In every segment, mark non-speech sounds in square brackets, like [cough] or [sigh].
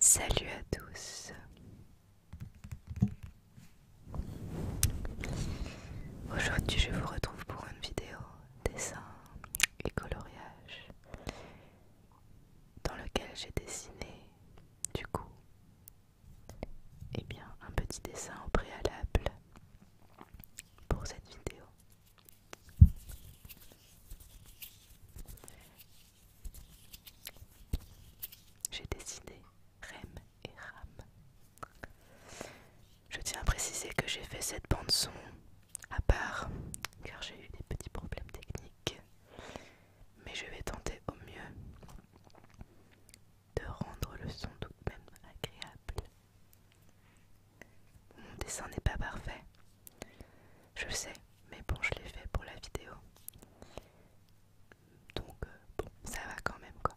Salut à tous. Aujourd'hui, je vous retrouve pour une vidéo dessin et coloriage dans lequel j'ai dessiné, du coup, et eh bien, un petit dessin au préalable pour cette vidéo. J'ai dessiné Rem et Ram. Je tiens à préciser que j'ai fait cette bande son à part car j'ai eu des petits problèmes techniques mais je vais tenter au mieux de rendre le son tout de même agréable. Mon dessin n'est pas parfait, je sais, mais bon, je l'ai fait pour la vidéo. Donc, euh, bon, ça va quand même, quoi.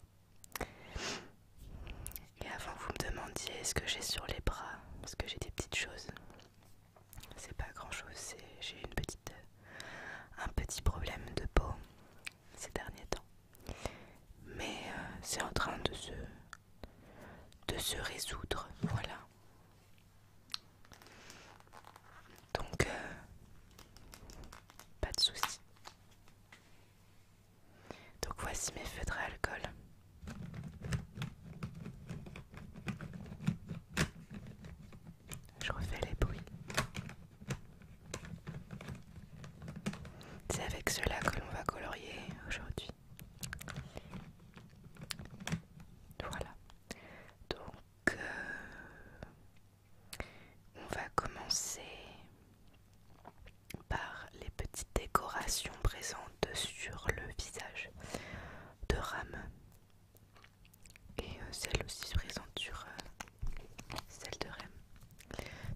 Et avant, vous me demandiez ce que j'ai sur les bras, parce que j'ai des petites choses. C'est pas grand chose, j'ai eu une petite, euh, un petit problème de peau ces derniers temps. Mais euh, c'est en train de se, de se résoudre, voilà. Donc, euh, pas de soucis. Donc voici mes feutres à alcool. Je refais les bruits. C'est avec cela que l'on va colorier aujourd'hui. Voilà. Donc, euh, on va commencer par les petites décorations présentes sur le visage de Ram et euh, celle aussi se présente sur euh, celle de REM.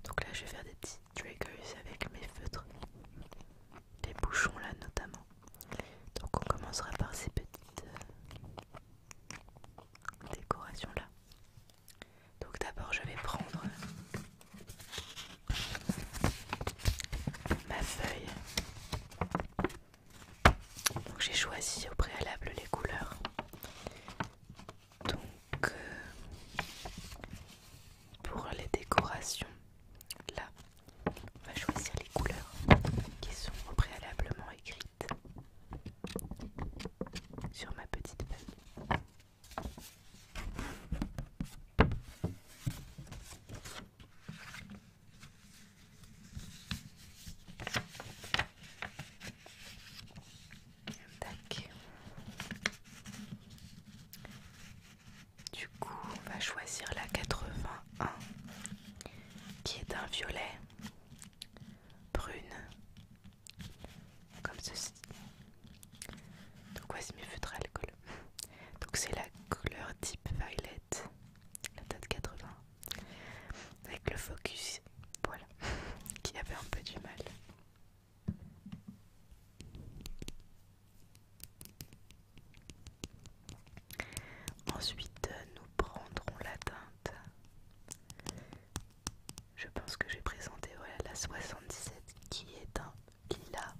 Donc là, je vais faire des petits triggers avec mes feutres, Des bouchons là notamment. Donc on commencera par ces petites euh, décorations là. Donc d'abord, je vais prendre ma feuille j'ai choisi au préalable les couleurs. Donc euh, pour les décorations, là, on va choisir les couleurs qui sont au préalablement écrites sur ma petite feuille. Du coup, on va choisir la 81 qui est un violet brune comme ceci. Donc voici mes feutres à alcool. Donc c'est la couleur type violet la date 80, avec le focus, voilà, [laughs] qui avait un peu du mal. Ensuite, nous prendrons la teinte. Je pense que j'ai présenté voilà, la 77 qui est un lilas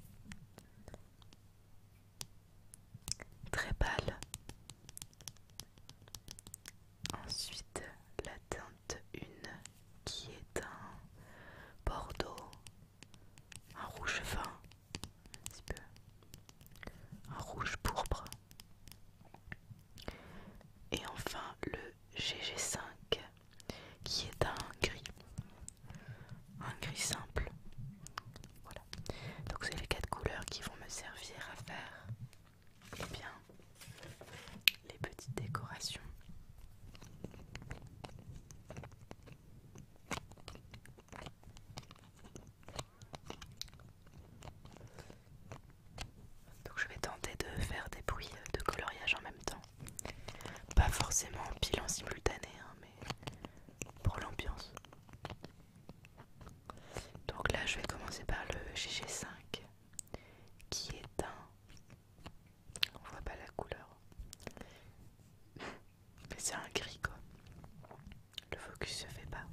très pâle. Ensuite, la teinte 1 qui est un bordeaux, un rouge fin, un un rouge pourpre. Et enfin, le GG5 qui est un gris un gris simple. Voilà. Donc c'est les quatre couleurs qui vont me servir à faire eh bien, les petites décorations. Donc je vais tenter de faire des bruits de coloriage en même temps. Pas forcément pile en simultané, hein, mais pour l'ambiance. Donc là, je vais commencer par le GG5 qui est un. On voit pas la couleur, [laughs] mais c'est un gris quoi. Le focus se fait pas.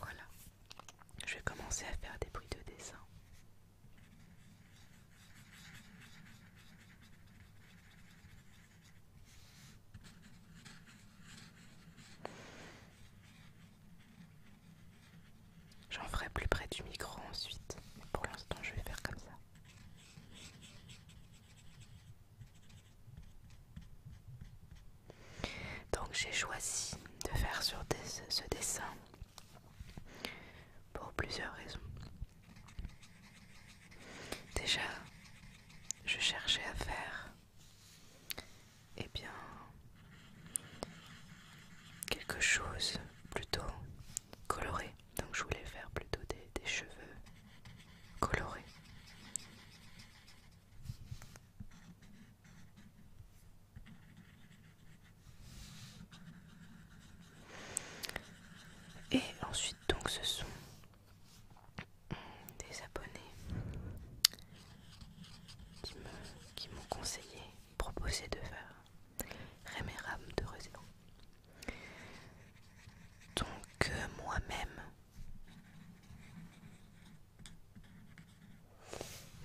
Voilà. Je vais commencer à faire des bruits de dessin. J'en ferai plus près du micro ensuite, pour l'instant je vais faire comme ça. Donc j'ai choisi de faire sur ce dessin pour plusieurs raisons. Déjà, je cherchais à faire eh bien quelque chose plutôt coloré. Donc je voulais faire plutôt des cheveux colorés. Et ensuite donc ce sont des abonnés qui m'ont conseillé, proposé de faire rémérame de Réseau. Donc euh, moi-même,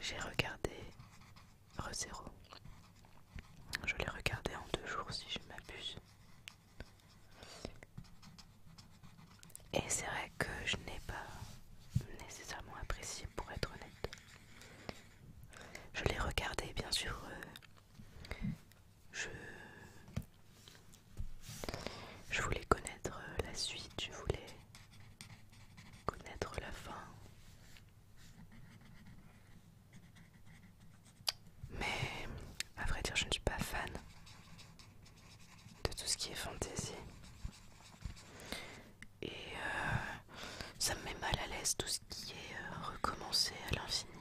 j'ai regardé ReZero, Je l'ai regardé en deux jours si je m'abuse. Et c'est vrai que je n'ai pas nécessairement apprécié pour être honnête. Je l'ai regardé bien sûr. Euh, je je voulais connaître euh, la suite, je voulais connaître la fin. Mais à vrai dire, je ne suis pas fan de tout ce qui est fantaisie. Et euh, ça me met mal à l'aise tout ce qui est euh, recommencer à l'infini,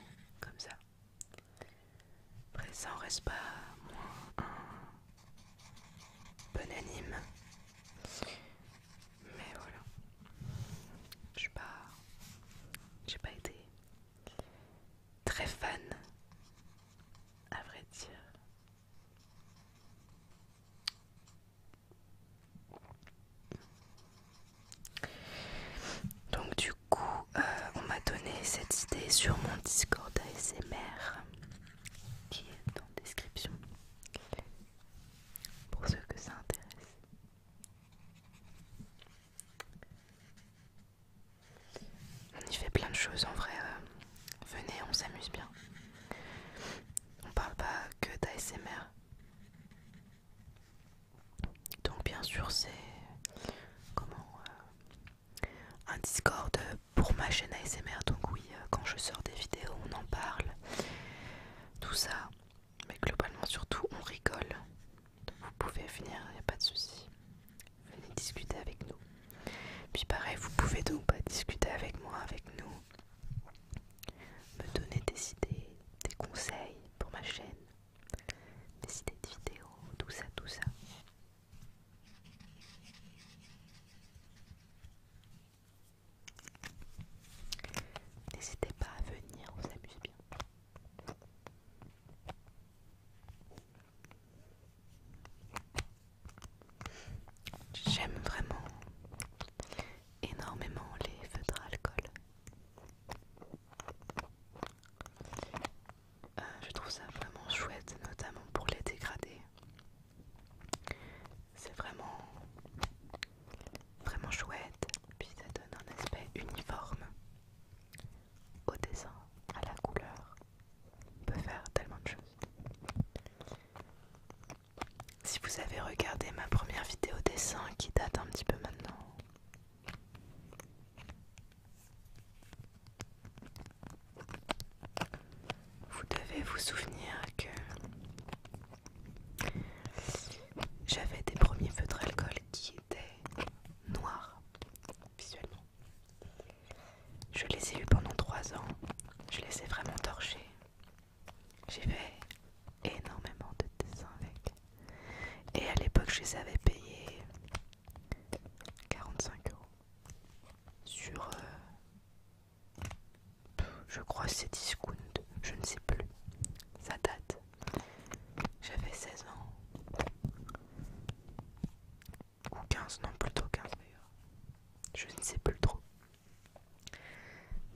comme ça. Après, ça en reste pas moins Bonanime, Mais voilà. Je pas. J'ai pas été très fan, à vrai dire. Donc du coup, euh, on m'a donné cette idée sur mon Discord ASMR qui est la description pour ceux que ça intéresse. On y fait plein de choses en vrai. Euh, venez, on s'amuse bien. On parle pas que d'ASMR. Donc bien sûr c'est comment euh, un Discord pour ma chaîne ASMR. Donc, oui, euh, quand je sors des vidéos, on en parle. Tout ça. Mais globalement, surtout, on rigole. vous pouvez venir, il pas de souci. Venez discuter avec nous. Puis, pareil, vous pouvez donc discuter avec moi, avec nous. Me donner des idées, des conseils pour ma chaîne, des idées de vidéos, tout ça, tout ça. N'hésitez pas à venir, on s'amuse bien. J'aime vraiment énormément les feutres à alcool. Euh, je trouve ça vraiment chouette, notamment pour les dégradés. C'est vraiment, vraiment chouette, puis ça donne un aspect uniforme au dessin, à la couleur. On peut faire tellement de choses. Si vous avez regardé ma première vidéo dessin qui date un petit peu maintenant, vous devez vous souvenir que j'avais des premiers feutres d'alcool qui étaient noirs visuellement. Je les ai eus pendant 3 ans, je les ai vraiment torchés. J'ai fait énormément de dessins avec. Et à l'époque, je les avais payés 45 euros sur euh, je crois c'est Discount, je ne sais plus, ça date. J'avais 16 ans ou 15, non plutôt 15 d'ailleurs, je ne sais plus trop.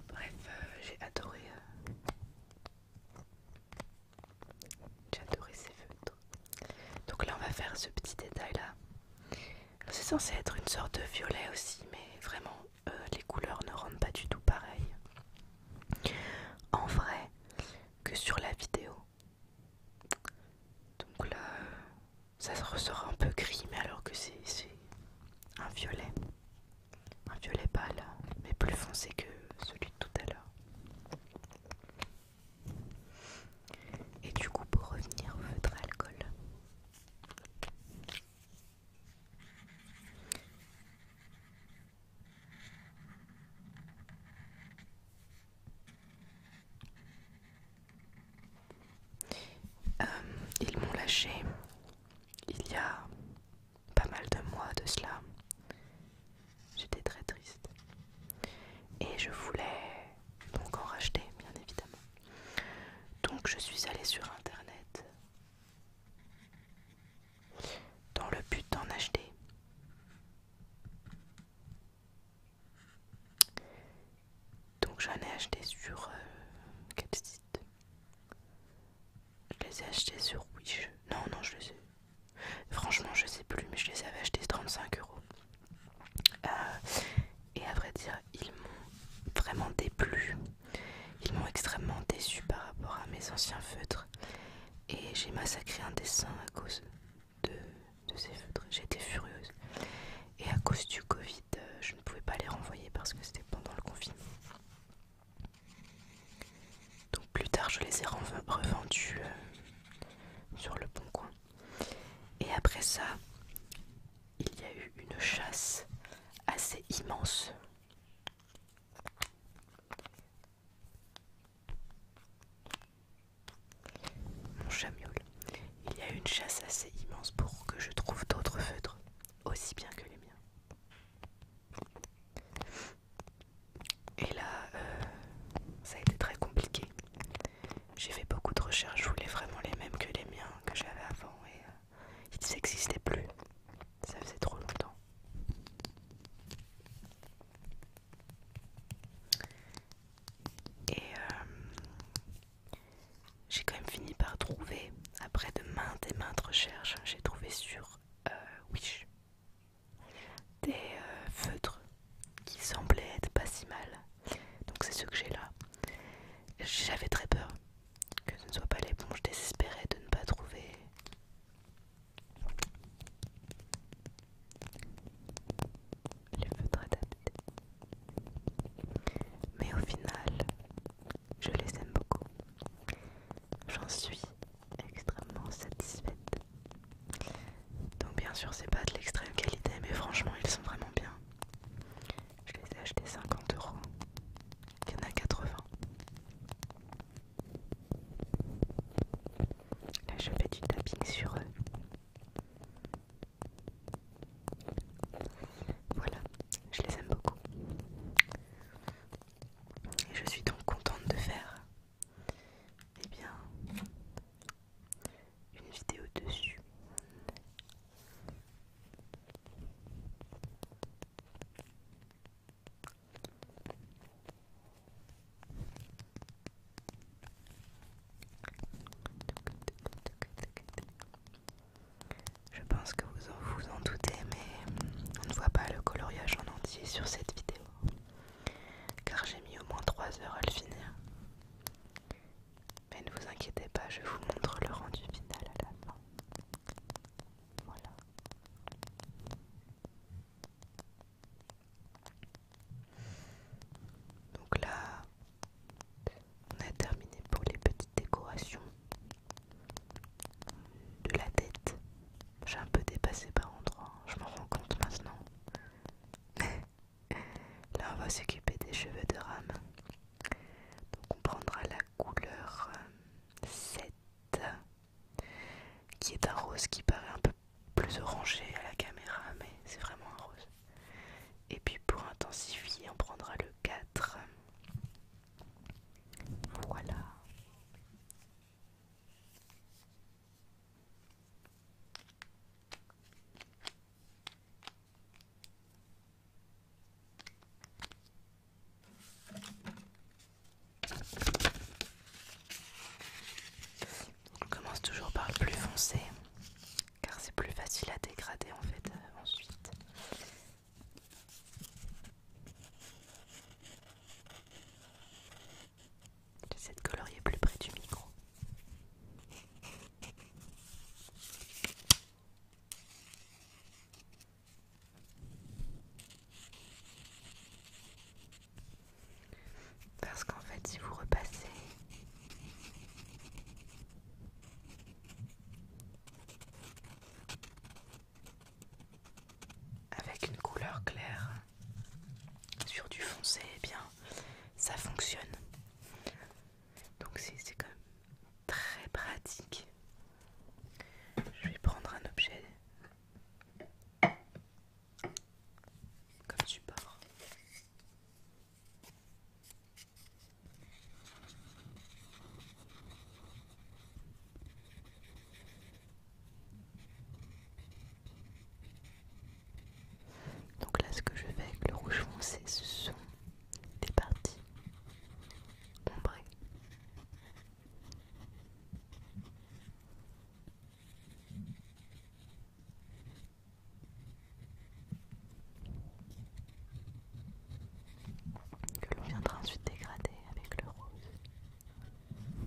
Bref, euh, j'ai adoré, euh, j'ai adoré ces feutres. Donc là on va faire ce petit détail là. C'est censé être une sorte de violet aussi, mais vraiment euh, les couleurs ne rendent pas du tout pareil. En vrai que sur la vidéo. Donc là ça ressort un peu gris, mais alors que c'est un violet. Un violet pâle, mais plus foncé que celui de tout à l'heure. Et du coup, pour revenir au feutre alcool, euh, ils m'ont lâché il y a pas mal de mois de cela. J'étais très triste. Et je voulais donc en racheter bien évidemment. Donc je suis allée sur internet dans le but d'en acheter. Donc j'en ai acheté sur euh, quel site Je les ai achetés sur Wish. Non, non, je les ai. Franchement, je sais plus, mais je les avais achetés 35 euros. Euh, et à vrai dire, ils m'ont vraiment déplu. Ils m'ont extrêmement déçue par rapport à mes anciens feutres. Et j'ai massacré un dessin à cause de, ces feutres. J'étais furieuse. Et à cause du Covid, euh, je ne pouvais pas les renvoyer parce que c'était pendant le confinement. Donc plus tard, je les ai revendus euh, sur le bon coin. Et après ça, il y a eu une chasse assez immense. Mon chat Il y a eu une chasse assez immense pour que je trouve d'autres feutres, aussi bien que les miens. Et là, euh, ça a été très compliqué. J'ai fait beaucoup de recherches, je voulais vraiment les mêmes que les miens que j'avais avant et euh, ils n'existaient plus. Ça faisait trop longtemps. Et euh, j'ai quand même fini par trouver, après de maintes et maintes recherches, j'ai trouvé sur euh, Wish des feutres qui semblait être pas si mal. Donc c'est ce que j'ai là. J'avais très peur que ce ne soit pas les bons. Je de ne pas trouver. Les feutres adaptés. Mais au final, je les aime beaucoup. J'en suis extrêmement satisfaite. Donc bien sûr c'est pas de l'extrême qualité mais franchement ils sont vraiment bien. Je les ai achetés 50 euros. Il y en a 80. Là je fais du tapping sur eux. Voilà, je les aime beaucoup. Et je suis donc contente de faire eh bien une vidéo dessus. Je pense que vous en, vous en doutez, mais on ne voit pas le coloriage en entier sur cette vidéo, car j'ai mis au moins 3 heures à le finir. Mais ne vous inquiétez pas, je vous montre le rendu final à la fin. Voilà. Donc là, on a terminé pour les petites décorations de la tête. J'ai un peu dépassé par endroit, hein. je m'en rends compte maintenant. [laughs] Là, on va s'occuper des cheveux de rame. Donc, on prendra la couleur 7, euh, qui est un rose qui paraît un peu plus orangé à la caméra, mais c'est vraiment un rose. Et puis, pour intensifier, on prendra le 4. Voilà. On commence toujours par le plus foncé car c'est plus facile à dégrader en fait euh, ensuite. J'essaie de colorier plus près du micro. Parce qu'en fait, si vous repassez, avec une couleur claire sur du foncé, eh bien ça fonctionne. Donc c'est quand même très pratique. Je vais prendre un objet comme support. Donc là, ce que je fais avec le rouge foncé, ce sont des parties ombrées. que l'on viendra ensuite dégrader avec le rose.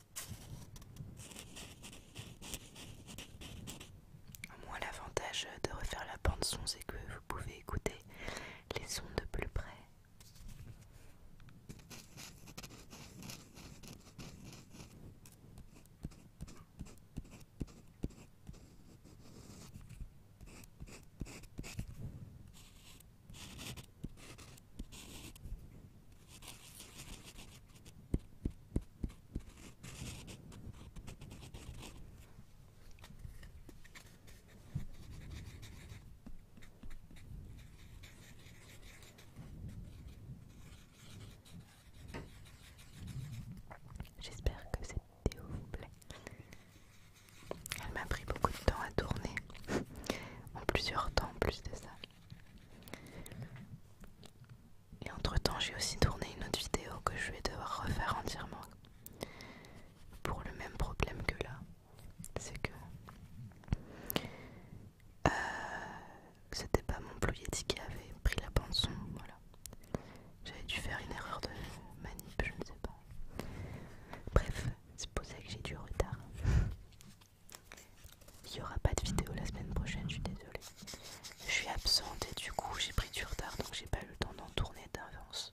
Moi moins l'avantage de refaire la bande son c'est que vous pouvez écouter les sons de plus près. J'espère que cette vidéo vous plaît. Elle m'a pris beaucoup de temps à tourner, [laughs] en plusieurs temps plus de ça. Et entre temps, j'ai aussi tourné une autre vidéo que je vais devoir refaire entièrement pour le même problème que là. C'est que euh, c'était pas mon ployéti qui avait pris la bande voilà. J'avais dû faire une erreur de manip, je ne sais pas. Bref, c'est pour ça que j'ai du retard. Il n'y aura pas de vidéo la semaine prochaine, je suis désolée. Je suis absente et du coup j'ai pris du retard donc j'ai pas eu le temps d'en tourner d'avance.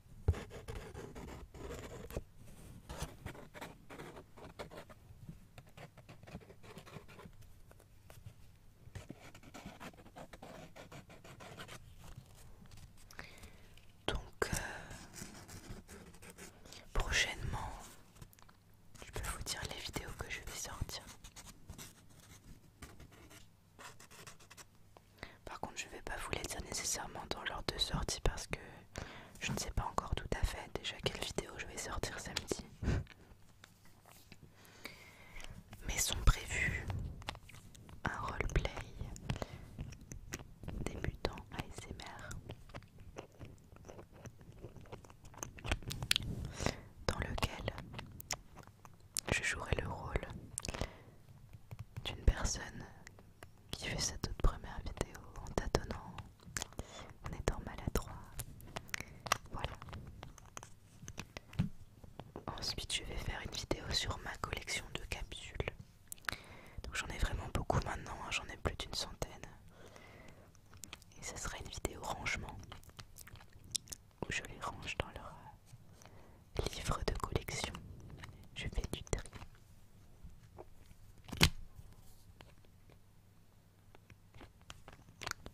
Donc, euh, prochainement, je peux vous dire les vidéos que je vais sortir. Par contre, je vais pas vous les dire nécessairement dans l'ordre de sortie parce que je ne sais pas encore tout à fait déjà quelle vidéo je vais sortir samedi. Mais sont prévus un roleplay débutant ASMR dans lequel je jouerai le rôle d'une personne qui fait sa toute première vidéo en tâtonnant, en étant maladroit. Voilà. Ensuite, je vais faire une vidéo sur ma collection de capsules. Donc j'en ai vraiment beaucoup maintenant, hein, j'en ai plus d'une centaine. Et ce sera une vidéo rangement où je les range dans leur Livre de collection. Je fais du tri.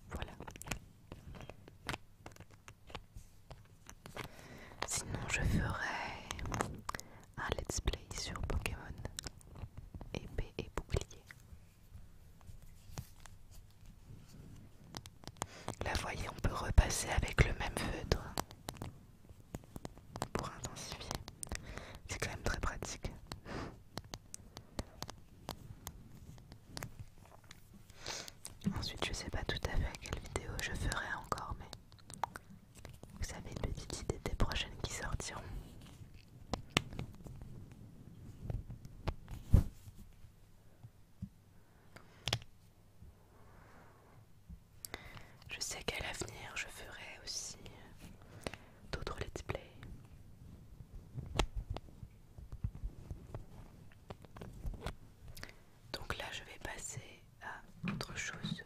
Voilà. Sinon, je ferai un let's play sur Pokémon épée et bouclier. La voyez, on peut repasser avec le même feutre pour intensifier. C'est quand même très pratique. Ensuite, je sais pas tout à fait à quelle vidéo je ferai encore, mais vous avez une petite idée des prochaines qui sortiront. Je sais qu'à l'avenir, je ferai aussi d'autres let's play. Donc là, je vais passer à autre chose.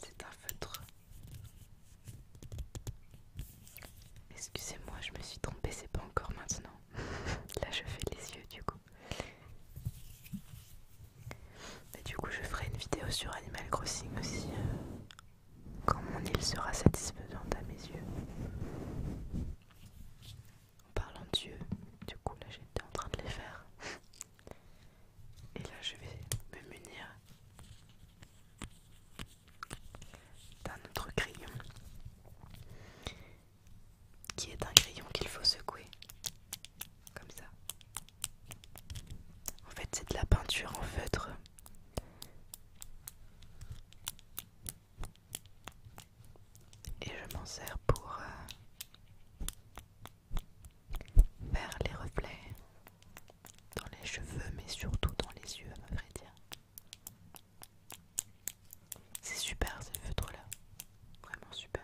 C'est un feutre Excusez-moi, je me suis trompée, c'est pas encore maintenant. [laughs] Là, je fais les yeux du coup. du coup, je ferai une vidéo sur Animal Crossing aussi euh, quand mon île sera satisfaisante à mes yeux. En parlant d'yeux, du coup, là, j'étais en train de les faire. Et là, je vais me munir d'un autre crayon qui est un crayon qu'il faut secouer comme ça. En fait, c'est de la peinture en feutre. Et je m'en sers pour euh, faire les reflets dans les cheveux, mais surtout dans les yeux, à vrai dire. C'est super ces feutres là, vraiment super.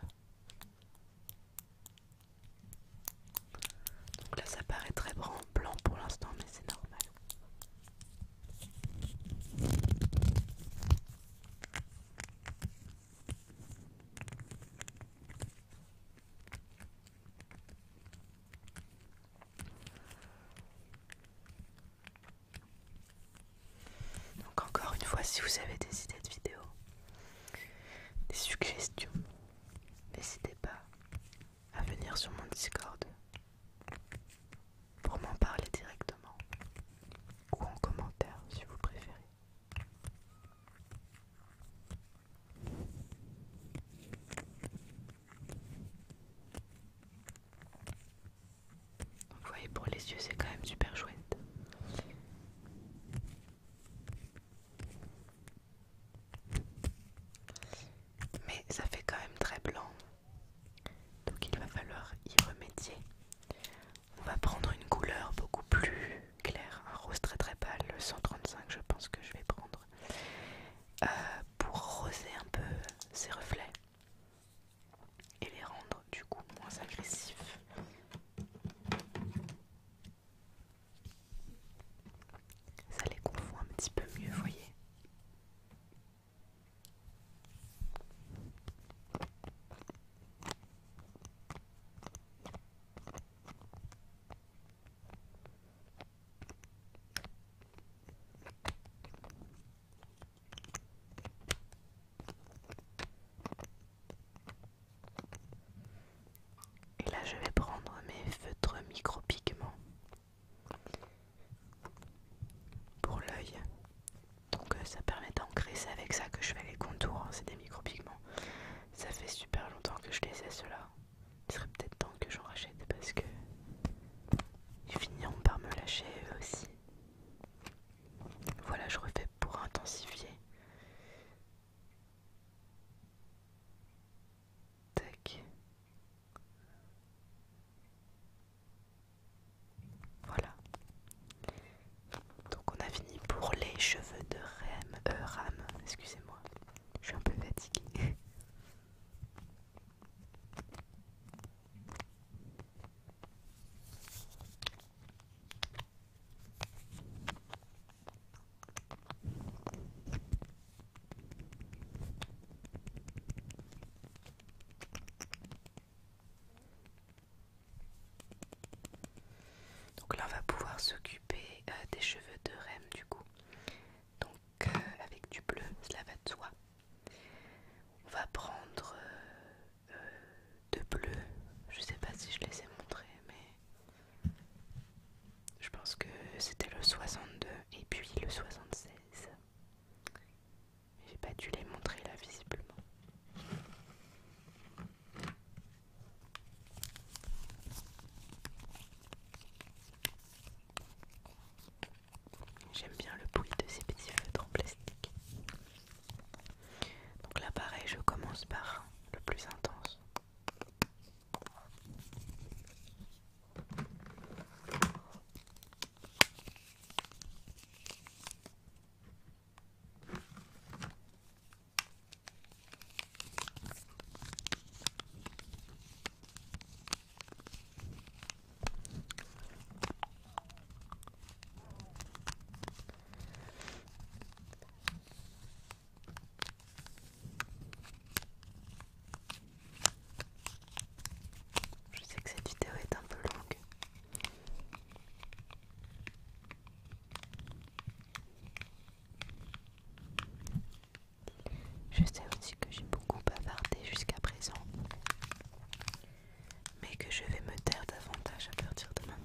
Donc là ça paraît très blanc pour l'instant mais c'est normal. Donc encore une fois, si vous avez des idées de vidéos, des suggestions, n'hésitez pas à venir sur mon Discord pour m'en parler directement ou en commentaire si vous préférez vous voyez pour les yeux c'est quand même super chouette. Mais ça fait quand même très blanc. Donc il va falloir y remédier. On va prendre une couleur beaucoup plus claire, un rose très très pâle, le 135 je pense que je vais prendre. Euh, pour roser un peu ces reflets et les rendre du coup moins agressifs. Ça les confond un petit peu mieux, vous voyez. Et là, je vais prendre mes feutres micro-pigments pour l'œil. Donc euh, ça permet d'ancrer, c'est avec ça que je fais les contours, hein, c'est des micro-pigments, Ça fait super longtemps que je les cela il serait peut-être temps que j'en rachète parce que ils finiront par me lâcher eux aussi. Voilà, je refais pour intensifier. Tac. Voilà. Donc on a fini pour les cheveux de euh, Ram. excusez-moi. Je suis un peu fatiguée. [laughs] Donc là on va pouvoir s'occuper euh, des cheveux de REM du coup. Euh, avec du bleu, cela va de soi. On va prendre euh, euh, deux de bleu, je sais pas si je les ai montrés, mais je pense que c'était le 62 et puis le 76. J'ai pas dû les montrer là visiblement. J'aime bien le bruit de ces petits feutres en plastique. Donc là pareil, je commence par le plus intense. Je sais que cette vidéo est un peu longue. Je sais aussi que j'ai beaucoup bavardé jusqu'à présent, mais que je vais me taire davantage à partir de maintenant.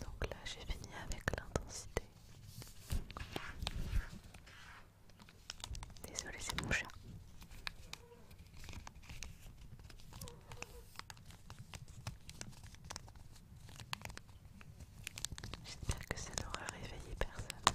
Donc là, j'ai fini avec l'intensité. Désolé, c'est mon chat. J'espère que ça n'aura réveillé personne.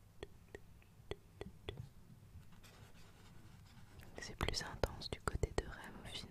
C'est plus intense du côté de rêve au final.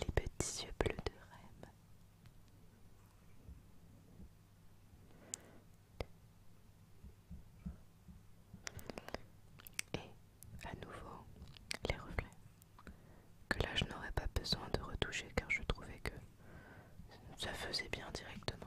les petits yeux bleus de Rem. Et à nouveau les reflets. Que là je n'aurais pas besoin de retoucher car je trouvais que ça faisait bien directement.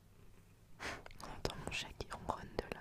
On mon chat qui ronronne de là.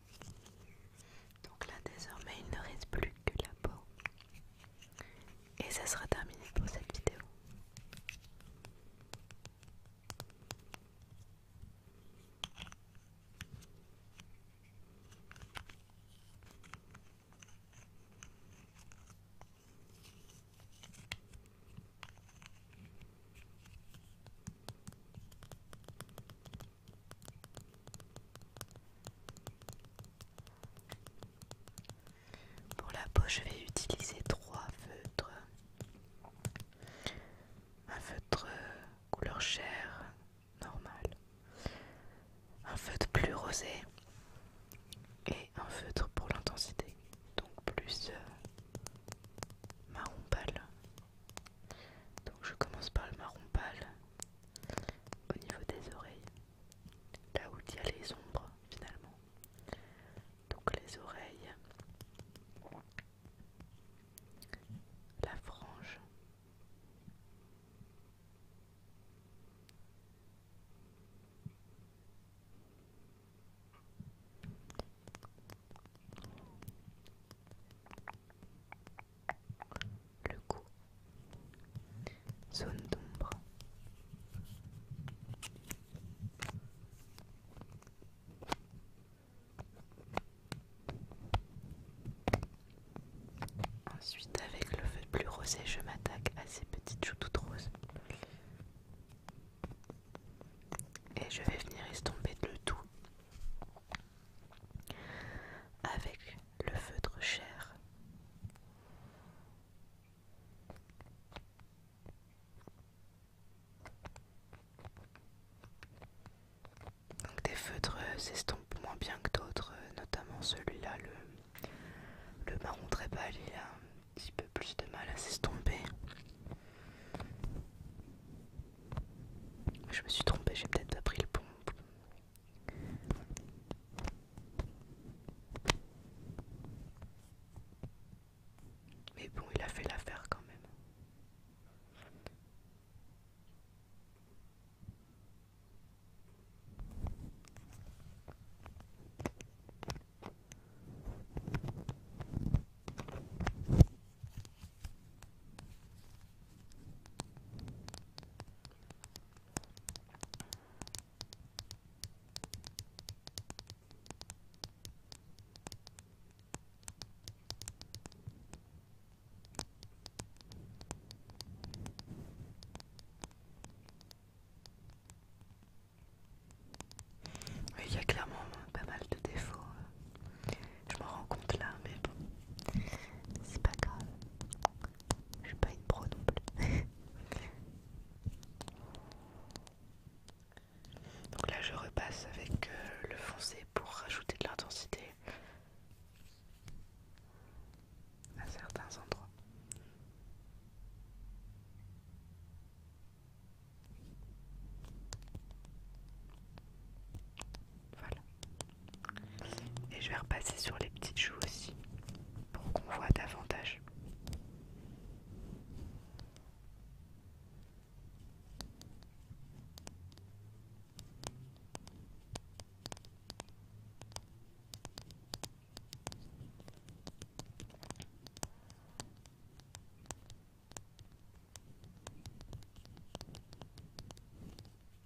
Donc là désormais il ne reste plus que la peau. Et ça sera terminé pour cette vidéo. Pour la peau, je vais utiliser trois feutres. Un feutre euh, couleur chair normale, un feutre plus rosé et un feutre pour l'intensité, donc plus euh, marron pâle. Donc je commence par le marron pâle au niveau des oreilles, là où il y a les ombres finalement. Donc les oreilles, la frange le cou, zone d'ombre. Ensuite, avec le feu plus rosé, je m'attaque à ces petites joues toutes roses. Et je vais venir estomper le tout avec le feutre cher. Donc des feutres s'estompent moins bien que d'autres, notamment celui-là, le, marron très pâle, il a un petit peu plus de mal à s'estomper. Je me suis trompé, j'ai peut-être pas pris le bon, mais bon, il a fait l'affaire quand même. Oui, il y a clairement pas mal de défauts. Hein. Je m'en rends compte là, mais bon. C'est pas grave. Je suis pas une pro non plus. [laughs] Donc là, je repasse avec euh, le foncé pour rajouter de l'intensité à certains endroits. Voilà. Et je vais repasser sur les petites joues aussi pour qu'on voit davantage.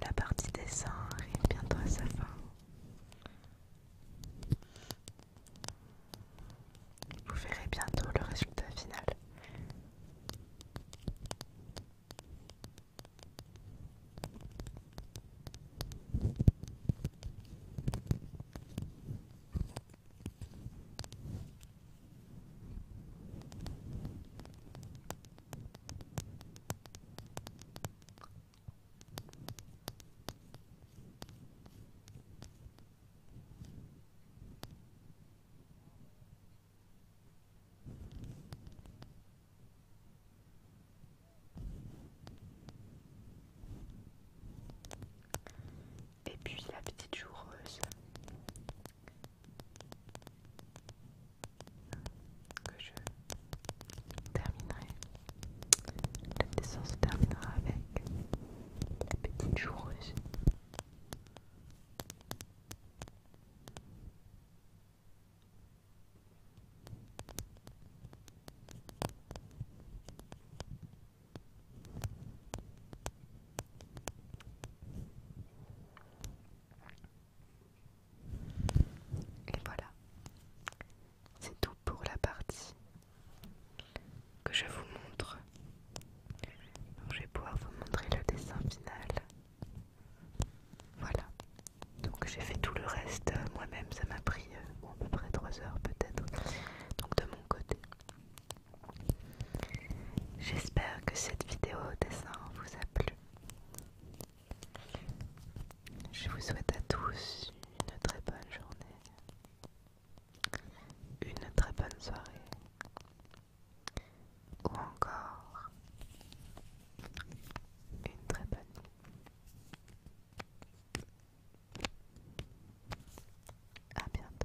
La partie des dessin arrive bientôt à sa fin. Vous verrez bientôt le résultat final. Et puis la petite joueuse que je terminerai. La descente se terminera avec la petite joue et voilà, c'est tout pour la partie que je vous montre. je vais pouvoir vous montrer le dessin final. Voilà, donc j'ai fait tout le reste euh, moi-même, ça m'a pris euh, à peu près 3 heures peut-être, donc de mon côté. J'espère que cette vidéo Au dessin vous a plu. Je vous souhaite à tous une très bonne journée, une très bonne soirée ou encore une très bonne nuit. À bientôt.